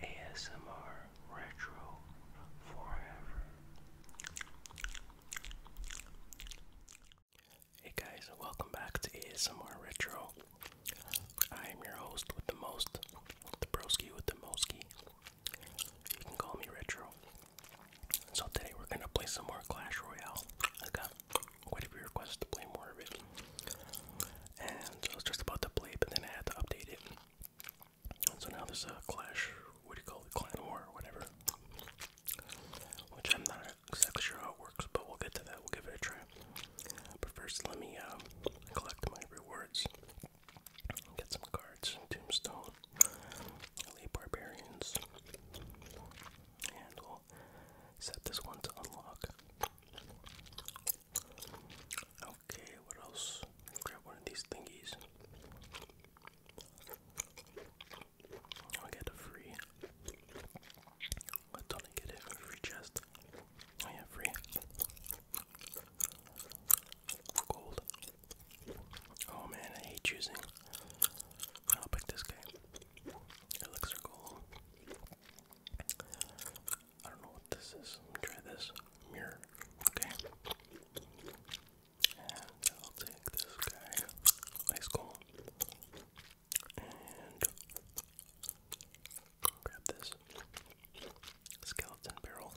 ASMR Retro Forever. Hey guys, welcome back to ASMR Retro. I am your host with the most, the with the moski. You can call me Retro. So today we're gonna play some more Clash Royale. I got quite a few requests to play more of it. And I was just about to play but then I had to update it. so now there's a clash, what do you call it, clan war whatever. Which I'm not exactly sure how it works, but we'll get to that, we'll give it a try. But first, let me um, collect my rewards. Get some cards, tombstone, elite barbarians, and set this one to unlock. Okay, what else? Grab one of these thingies. I get a free. Why do get it? free chest. Oh yeah, free. Gold. Oh man, I hate choosing. I'll pick this guy. Elixir gold. I don't know what this is. Let me try this mirror. Okay. And I'll take this guy. Ice cold. And grab this skeleton barrel.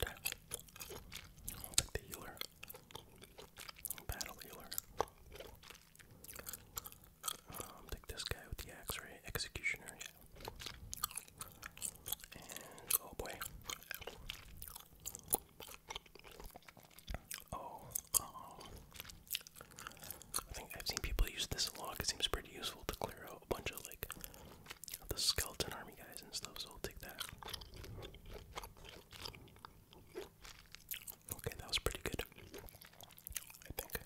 And i the healer. Battle healer. Um, take this guy with the X-ray Executioner, yeah. oh boy. Oh, um, I think I've seen people use this a lot. It seems pretty useful to clear out a bunch of like the skeleton army guys and stuff. So I'll take that. Okay, that was pretty good. I think.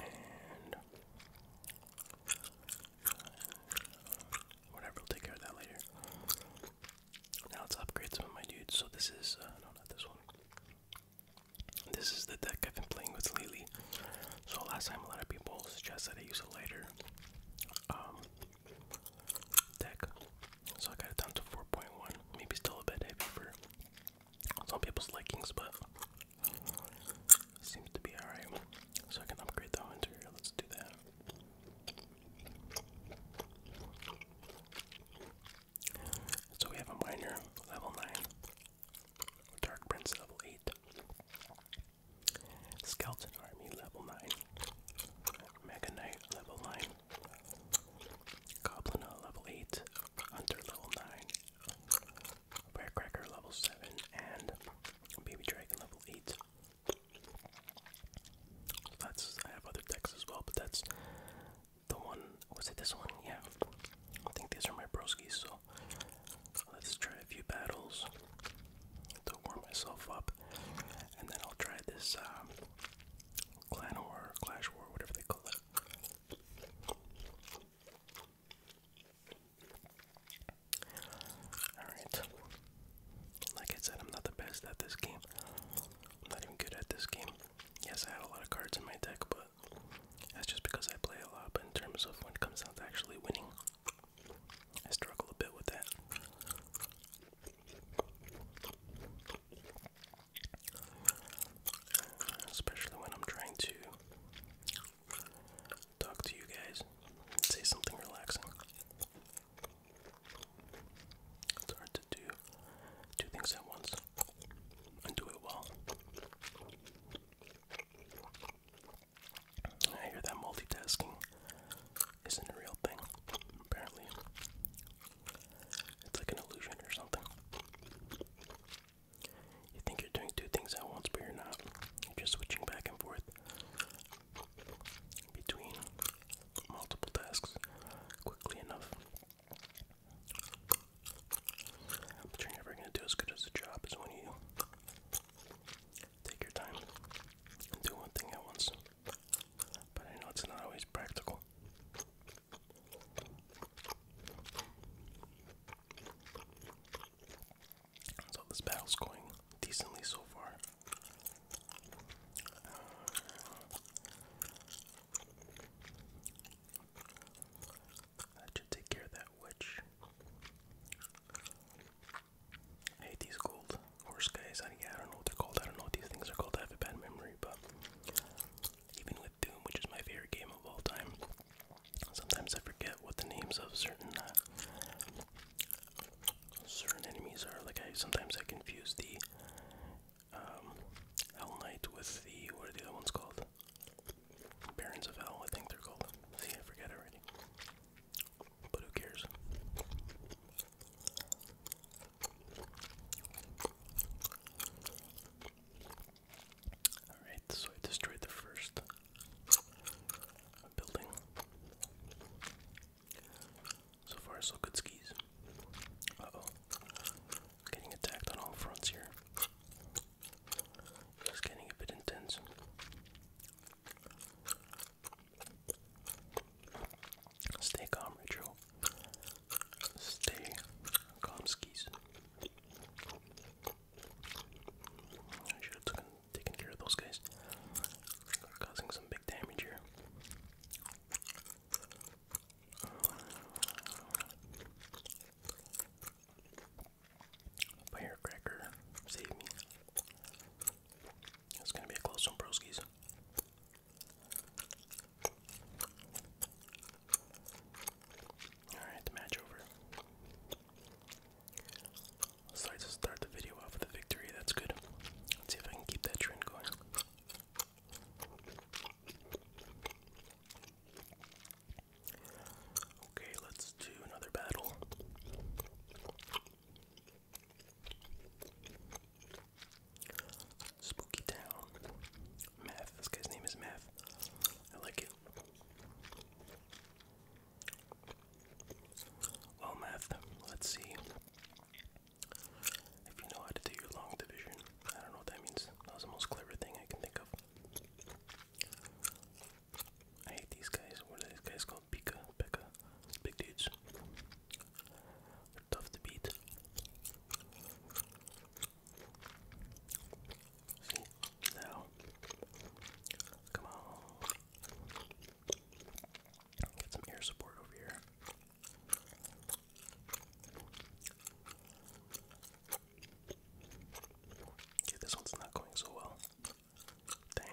And whatever, we'll take care of that later. Now let's upgrade some of my dudes. So this is uh, no, not this one. This is the deck I've been playing with lately. So last time, a lot of people suggested I use a lighter um, deck, so I got it down to 4.1. Maybe still a bit heavy for some people's likings, but seems to be alright. So I can upgrade the interior. Let's do that. So we have a miner, level 9. Dark Prince, level 8. Skeleton Army, level 9. Mega Knight, level 9. Goblin level 8, Hunter level 9, Firecracker level 7, and Baby Dragon level 8. That's I have other decks as well, but that's the one. Was it this one? Yeah. I think these are my broskies, so let's try a few battles to warm myself up, and then I'll try this um, Clan War, Clash War, whatever they call it. Alright. Like I said, I'm not the best at this game. I'm not even good at this game. Yes, I had a lot of cards in my deck, but that's just because I play a lot. But in terms of when it comes down to actually winning, I struggle a bit with that. Especially when I'm trying to talk to you guys, say something relaxing. It's hard to do two things at once and do it well. I hear that multitasking isn't a real thing, apparently. It's like an illusion or something. You think you're doing two things at once, but you're not. You're just switching back and forth between multiple tasks quickly enough. But you're never gonna do as good as a job as when you take your time and do one thing at once. But I know it's not always practical. So this battle's going decently so far. Uh, should take care of that witch. I hate these gold horse guys. I don't know what they're called. I don't know what these things are called. I have a bad memory, but even with Doom, which is my favorite game of all time, sometimes I forget what the names of certain uh, certain enemies are. Like I sometimes I confuse the um, Hell Knight with the what are the other ones called? Barons of Hell, I think they're called. See, I forget already. But who cares? Alright, so I destroyed the first building. So far, so good skis. oh. Getting attacked on all fronts here. It's getting a bit intense. Stay calm, Rachel. Stay calm, skis. I should have taken, care of those guys. causing some big damage here. Firecracker, save me. It's gonna be a close one, broskies. Alright, the match over. So I start the video off with a victory, that's good. Let's see if I can keep that trend going. Okay, let's do another battle. Spooky Town. Math. This guy's name is Math. I like it. Well, Math, let's see. If you know how to do your long division, I don't know what that means. That was the most clever thing I can think of. I hate these guys. What are these guys called? Pika, Pekka, big dudes tough to beat. See, now, come on, get some air support over here. Okay, this one's not going so well. Dang.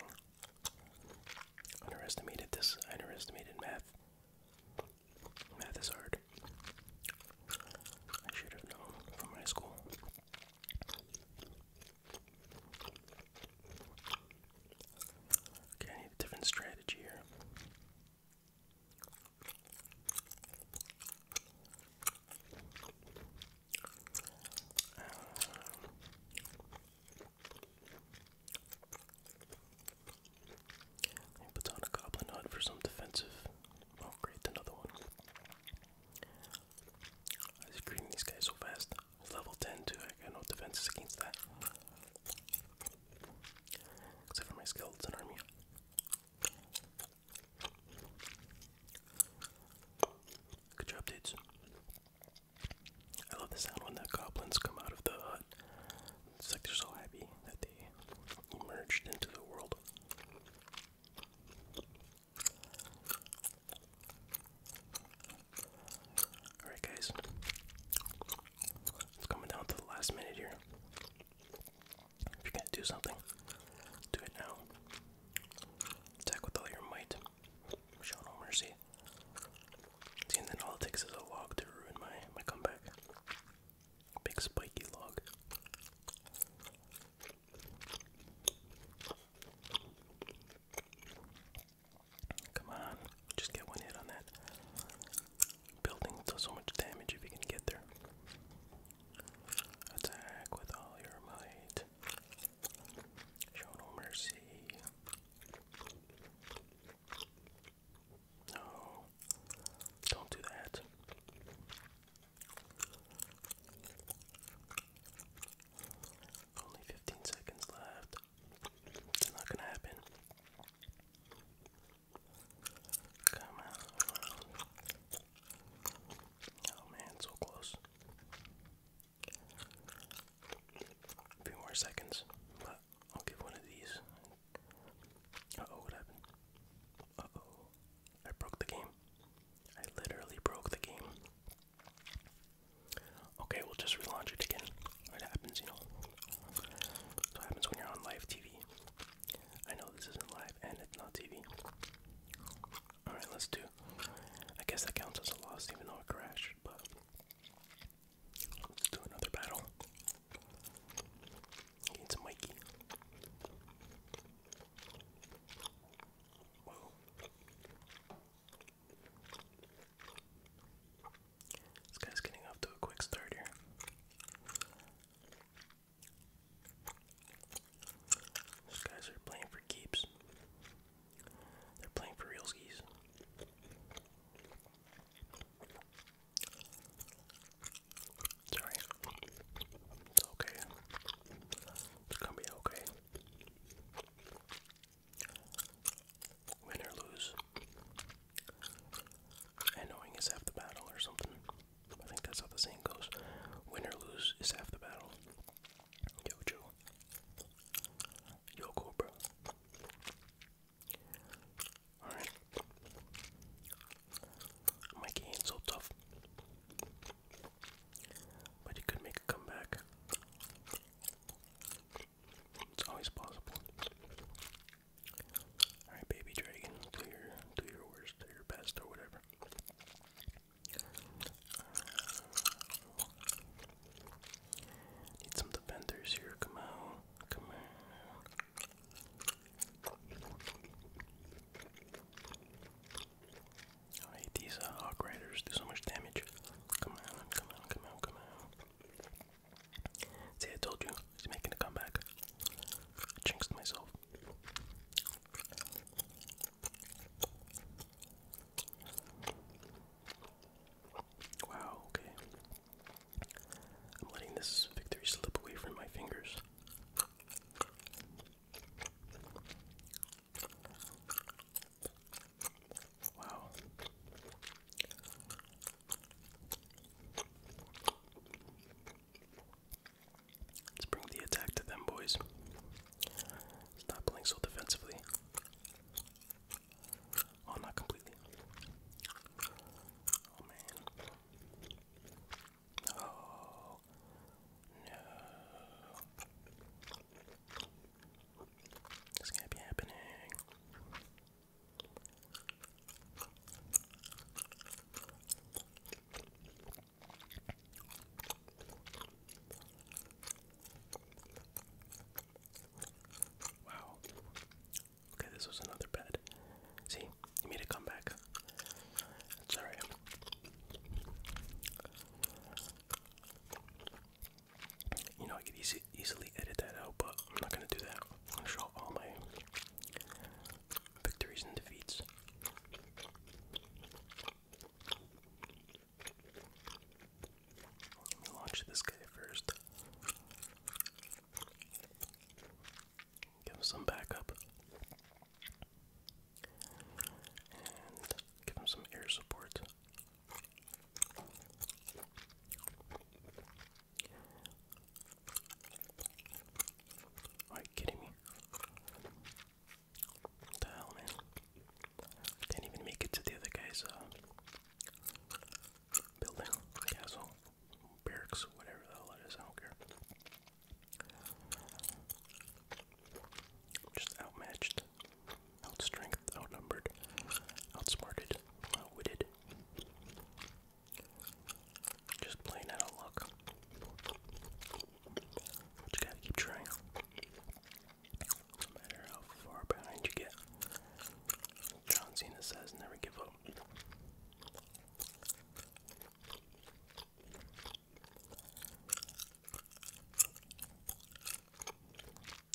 Underestimated this. Underestimated math. Math is hard. I should have known from high school. Okay, different strategy here. Um, he puts on a goblin hut for some defensive. Oh great, another one. I was greeting these guys so fast. Level 10 too, I got no defenses against that. Except for my skeleton army. Good job, dudes. I love the sound when the goblins come out of the hut. It's like they're so happy that they emerged into the world. Alright, guys, it's coming down to the last minute here. If you're gonna do something, do it now. Attack with all your might. Show no mercy and then all it takes is a log to ruin my, my comeback. Big spiky log. Come on, just get one hit on that. Building does so much damage if you can get there. Attack with all your might. Show no mercy. No, don't do that. Only 15 seconds left. It's not gonna happen. Come on. Oh man, so close. few more seconds, but I'll give one of these. oh, what happened? oh, I broke the game. I literally broke the game. Okay, we'll just relaunch it again. It happens, you know. It happens when you're on live TV. I know this isn't live and it's not TV. Alright, let's do. I guess that counts as a loss even though it crashed, but Let's do another battle. Need Mikey. This guy's getting off to a quick start here. These guys are playing for keeps. They're playing for real skis. Sorry. It's okay. It's gonna be okay. Win or lose. And knowing is half the battle or something. I think that's how the saying goes. Win or lose is half the battle. Yo, Joe. Yo, Cobra. Alright. My game's so tough. But he could make a comeback. It's always possible. Alright, baby dragon, do your do your worst, do your best or whatever. Need some defenders here. Come on. Come on. Oh, hey, these uh, do so much damage. Come on, come on, come on, come on. See, I told you, he's making a comeback. I jinxed myself. Wow, okay. I'm letting this victory slip away from my fingers. Wow. Let's bring the attack to them, boys. Stop playing so defensively. Oh, not completely. Oh man. Oh no. This can't be happening. Wow. Okay, this was another bad. See, he made a comeback. It's You know, I could easy, easily edit that out, but I'm not gonna do that. show all my victories and defeats. Let me launch this guy first. Give him some backup. And give him some air support. Are you kidding me? What the hell, man? Can't even make it to the other guy's uh, building, castle, barracks, whatever the hell it is, I don't care. Just outmatched, outstrength, outnumbered, outsmarted, outwitted. Just plain out of luck. Just gotta keep trying. No matter how far behind you get, John Cena says, never give up. I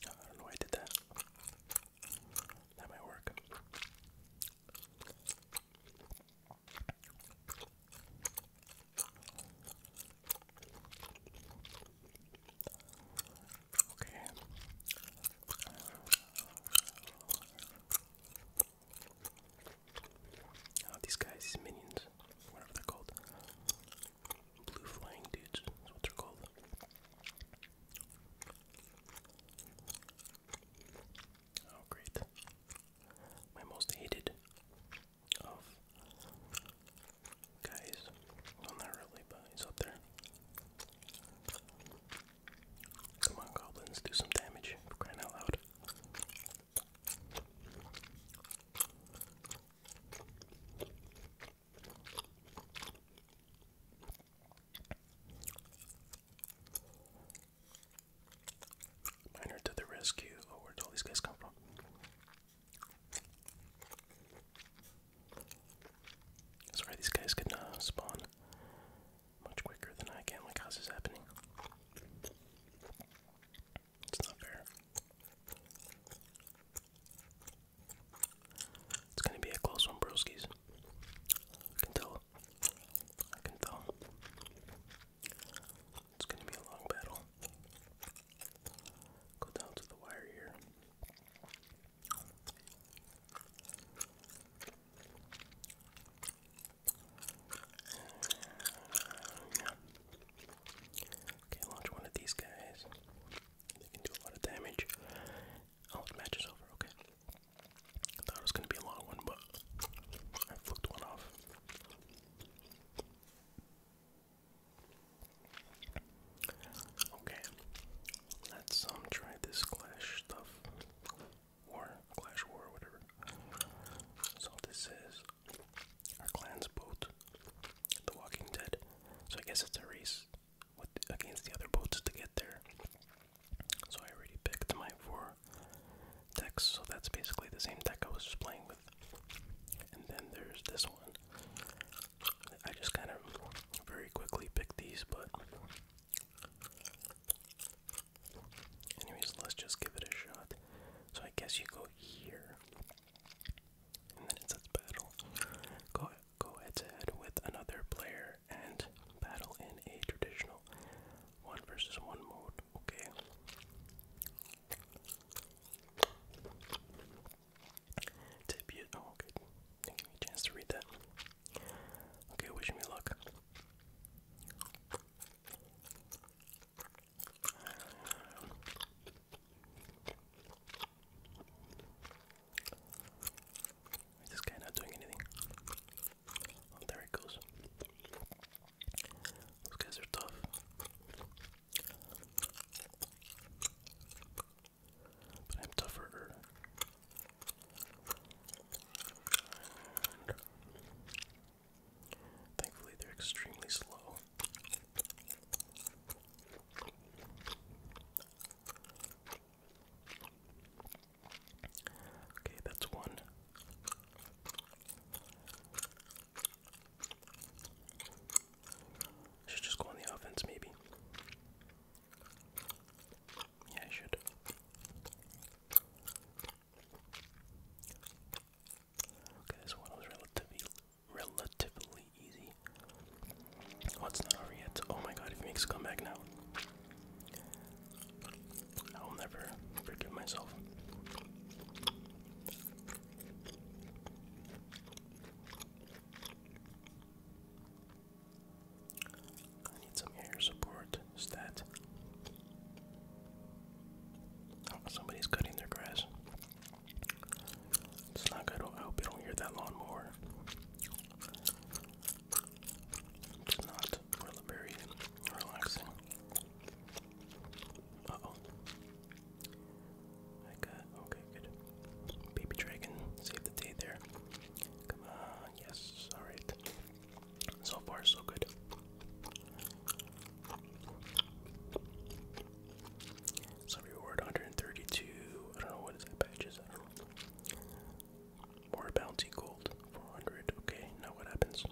don't know why I did that. That might work. Okay. Oh, these guys, minions, whatever they're called. Blue flying dudes what they're called. Oh, great. My most hated guys. not really, but he's up there. Come on, goblins, do some damage. out loud. Miner to the rescue. Oh, where'd all these guys come from? Sorry, these guys can uh, spawn much quicker than I can. Like, how's this happening? It's not fair. It's gonna be a close one, broskies. I can tell. I can tell. It's gonna be a long battle. Go down to the wire here. Yeah. Okay, launch one of these guys. They can do a lot of damage. Oh, the match is over, okay. I thought it was gonna be a long one, but I flipped one off. Okay, let's um, try this Clash stuff, War, Clash War, whatever. So this is our clan's boat, The Walking Dead. So I guess it's a race with against the other boats to get there. So I already picked my four decks, so that's basically the same deck I was just playing with. And then there's this one. I just kind of very quickly pick these, but. Anyways, let's just give it a shot. So I guess you go here, and then it says battle. Go go head to head with another player and battle in a traditional one versus one mode. Okay. Debut. Oh, good. Didn't give me a chance to read that. Okay, wish me luck. this guy not doing anything? Oh, there it goes. Those guys are tough but I'm tougher. thankfully, they're extremely slow. Okay, that's one. should just go on the offense, maybe. Yeah, I should. Okay, this one was relatively relatively easy. What's oh, not over yet. Oh my god, if he makes a comeback now. I will never forgive myself. I need some air support. Is that? Oh, somebody's cutting their grass. It's not good. I hope you don't hear that lawnmower. It's not really relaxing. Uh oh. I okay, good. Baby dragon, save the day there. Come on, yes, alright. So far so good. So reward 132. I don't know what is that badges, I More bounty gold, 400. Okay, now what happens?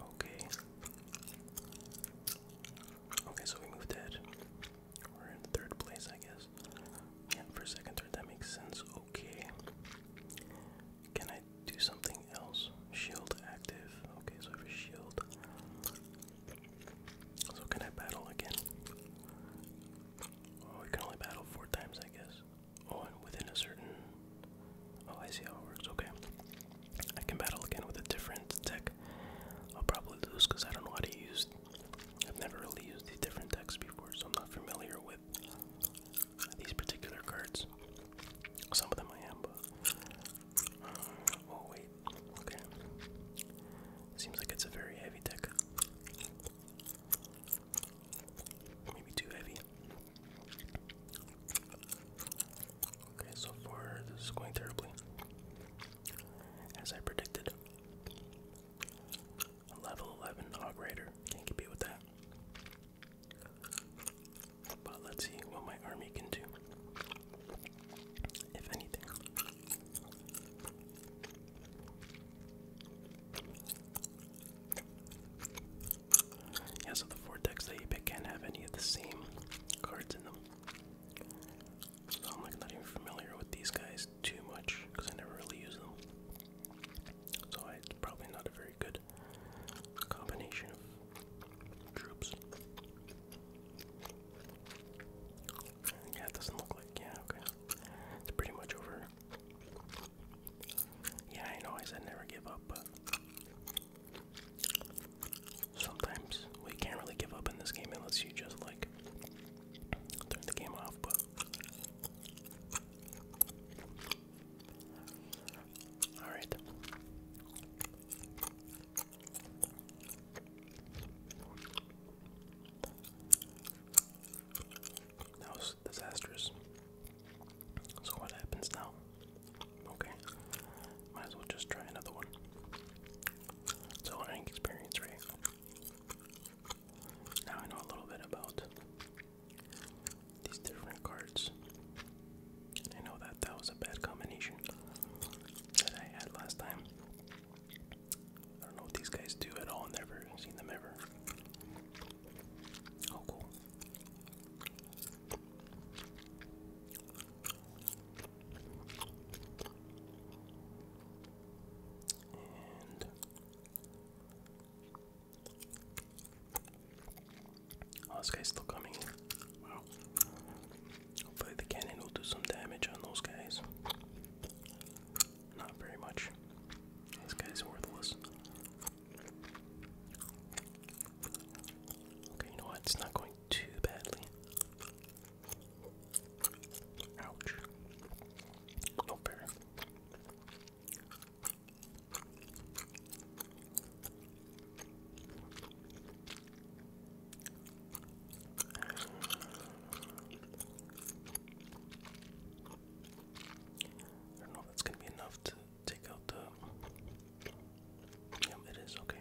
Okay. Okay, so we moved ahead. We're in third place, I guess. Yeah, for second, third, that makes sense. Okay. Can I do something else? Shield active. Okay, so I have a shield. So can I battle again? Oh, you can only battle four times, I guess. Oh, and within a certain Oh, I see how it works. Okay. I can battle again with a different deck. I'll probably lose because I don't know how to use. I've never really used these different decks before, so I'm not familiar with these particular cards. Some of them I am, but. Uh, oh, wait. Okay. Seems like it's a very heavy deck. Maybe too heavy. Okay, so far this is going terribly. As I predicted. level 11 Hog Rider. Can't compete with that. But let's see what my army can do. If anything. Yeah, so the four decks that you pick can't have any of the same cards in them. So I'm like not even familiar with these guys too much because I never really use them. So I, it's probably not a very good combination of troops. Yeah, it doesn't look like. Yeah, okay. It's pretty much over. Yeah, I know I said never give up, but Sometimes we can't really give up in this game unless you just like turn the game off, but Alright. That was disastrous. So what happens now? Okay, might as well just try another one. It's learning experience, right? Now I know a little bit about these different cards. I know that that was a bad combination that I had last time. I don't know what these guys do at all. Never seen them ever. Oh, cool oh, this guy's still coming Wow. Hopefully, the cannon will do some damage on those guys. Not very much. This guy's worthless. Okay, you know what? It's not going too badly. Ouch. No oh, fair. I don't know if that's gonna be enough to take out the. Yep, it is okay.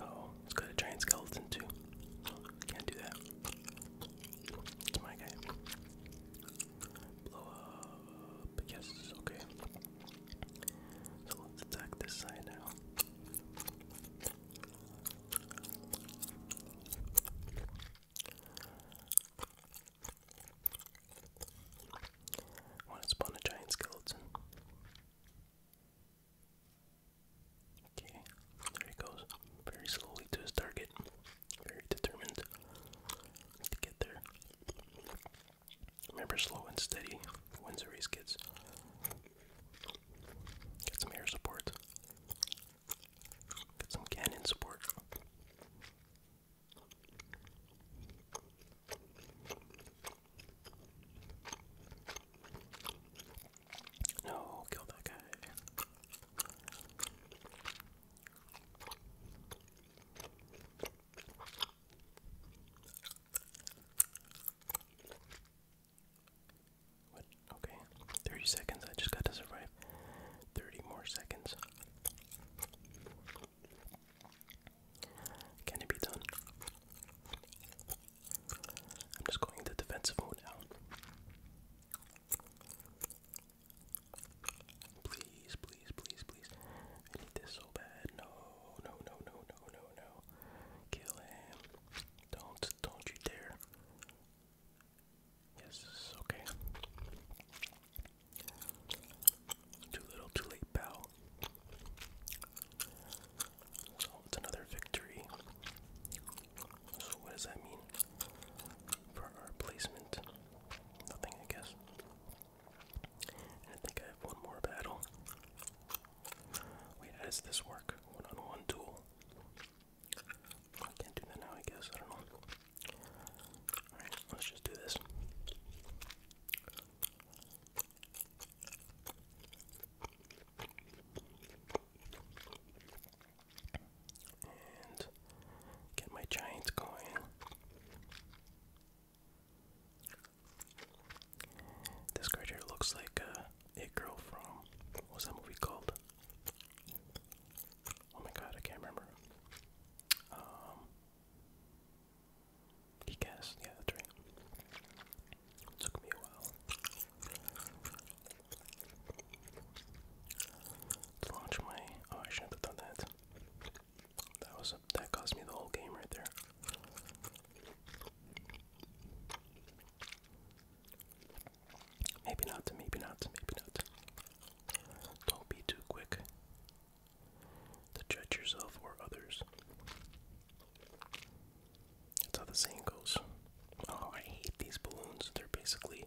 Oh, it's got a giant skeleton too. Can't do that. It's my guy. Blow up. Yes, okay. So let's attack this side now. Want to spawn a giant skeleton? Okay, there he goes. Very slowly to his target. Very determined to get there. Remember, slow and steady wins the race, kids. Get some air support. Get some cannon support. No, kill that guy. What? Okay. 30 seconds. I just got to survive 30 more seconds. Can it be done? I'm just going into defensive mode now. Please, please, please, please. I need this so bad. No, no, no, no, no, no, no. Kill him. Don't, don't you dare. Yes, this is okay. Too little, too late, pal. So it's another victory. So what does that mean for our placement? Nothing, I guess. I think I have one more battle. Wait, does this work? One on one duel. I can't do that now, I guess. I don't know. Alright, let's just do this. And get my Giants going. This card here looks like a girl from what that movie called? Oh my god, I can't remember. Um, he guessed, yeah, that's right. took me a while. To launch my, oh, I shouldn't have done that. That was that cost me the whole game right there. Maybe not, maybe not, maybe not. Don't be too quick to judge yourself or others. That's how the saying goes. Oh, I hate these balloons. They're basically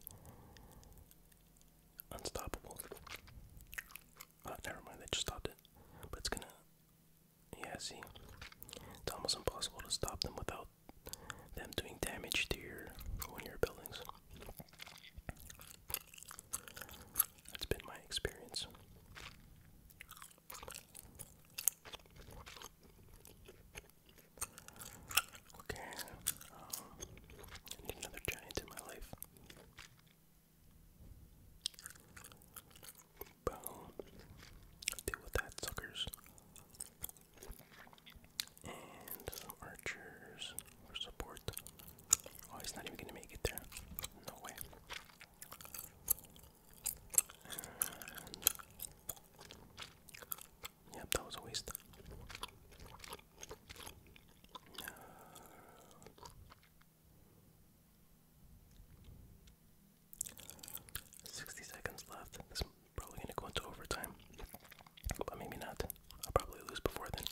unstoppable. Oh, never mind, I just stopped it. But it's gonna. Yeah, see? It's almost impossible to stop them without them doing damage to your one your buildings. That's been my experience. Okay, um, need another giant in my life. Boom. Deal with that, suckers. And archers for support. Oh, he's not even gonna make it there. No way. Yep, that was a waste. 60 seconds left. This probably going to go into overtime. But maybe not. I'll probably lose before then.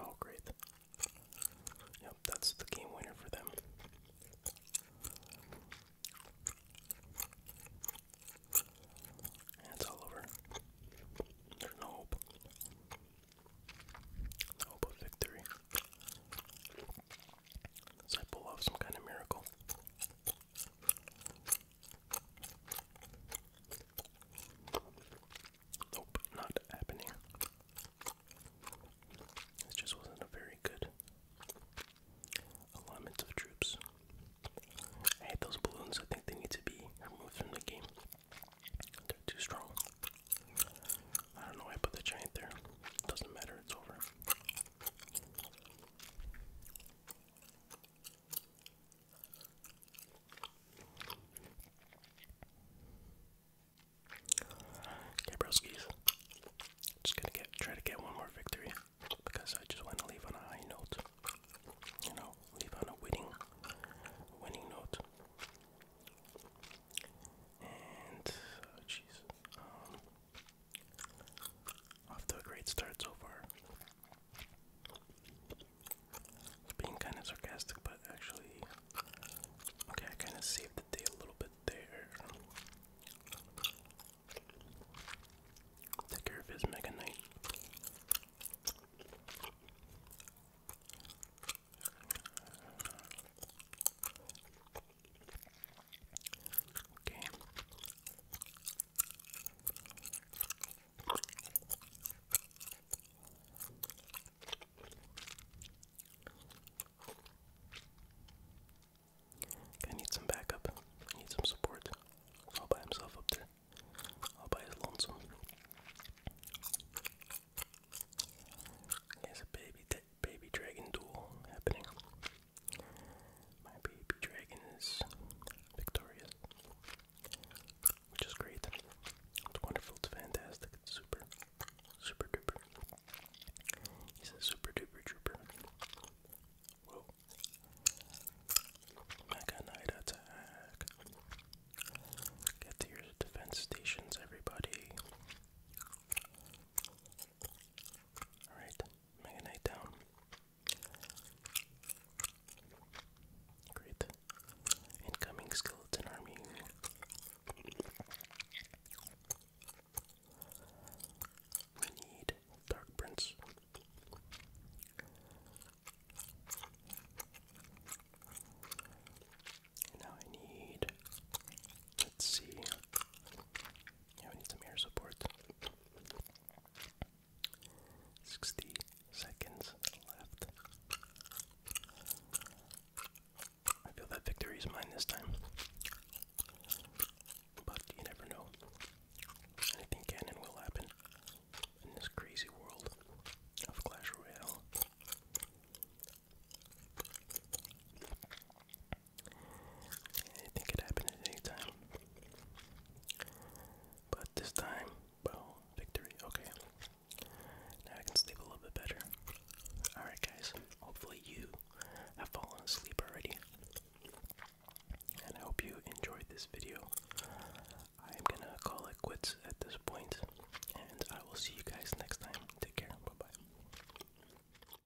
Oh, great. Yep, that's the game winner for them. it's all over. There's no hope. No hope of victory. So I pull off some kind of miracle. Nope, not happening. This just wasn't a very good alignment of troops. I hate those balloons. I think they need to be removed from the game. They're too strong. I don't know why I put the giant there. Doesn't matter, it's over. Okay, broskies. Just gonna get try to get one more victory because I just want to leave on a high note. You know, leave on a winning, winning note. And oh, jeez, um, off to a great start so far. Being kind of sarcastic, but actually, okay, I kind of saved the day a little bit there. Take care of his Mega Knight. I need some backup. I need some support. All by himself up there. All by his lonesome. He's baby baby dragon duel happening. My baby dragon is victorious, which is great. It's wonderful, it's fantastic, it's super, super duper. He's a super duper trooper. Mega Knight attack. Get to your defense stations, everybody. Alright, Mega Knight down. Great. Incoming skeleton army. We need Dark Prince. now I need. Let's see. I need some air support. 60 seconds left. I feel that victory is mine this time. But you never know. Anything can and will happen in this crazy world of Clash Royale. I think it at any time. But this time, well, victory. Okay. Now I can sleep a little bit better. Alright, guys. Hopefully, you have fallen asleep already. And I hope you enjoyed this video. I'm gonna call it quits at this point, and I will see you guys next time. Take care. Bye bye.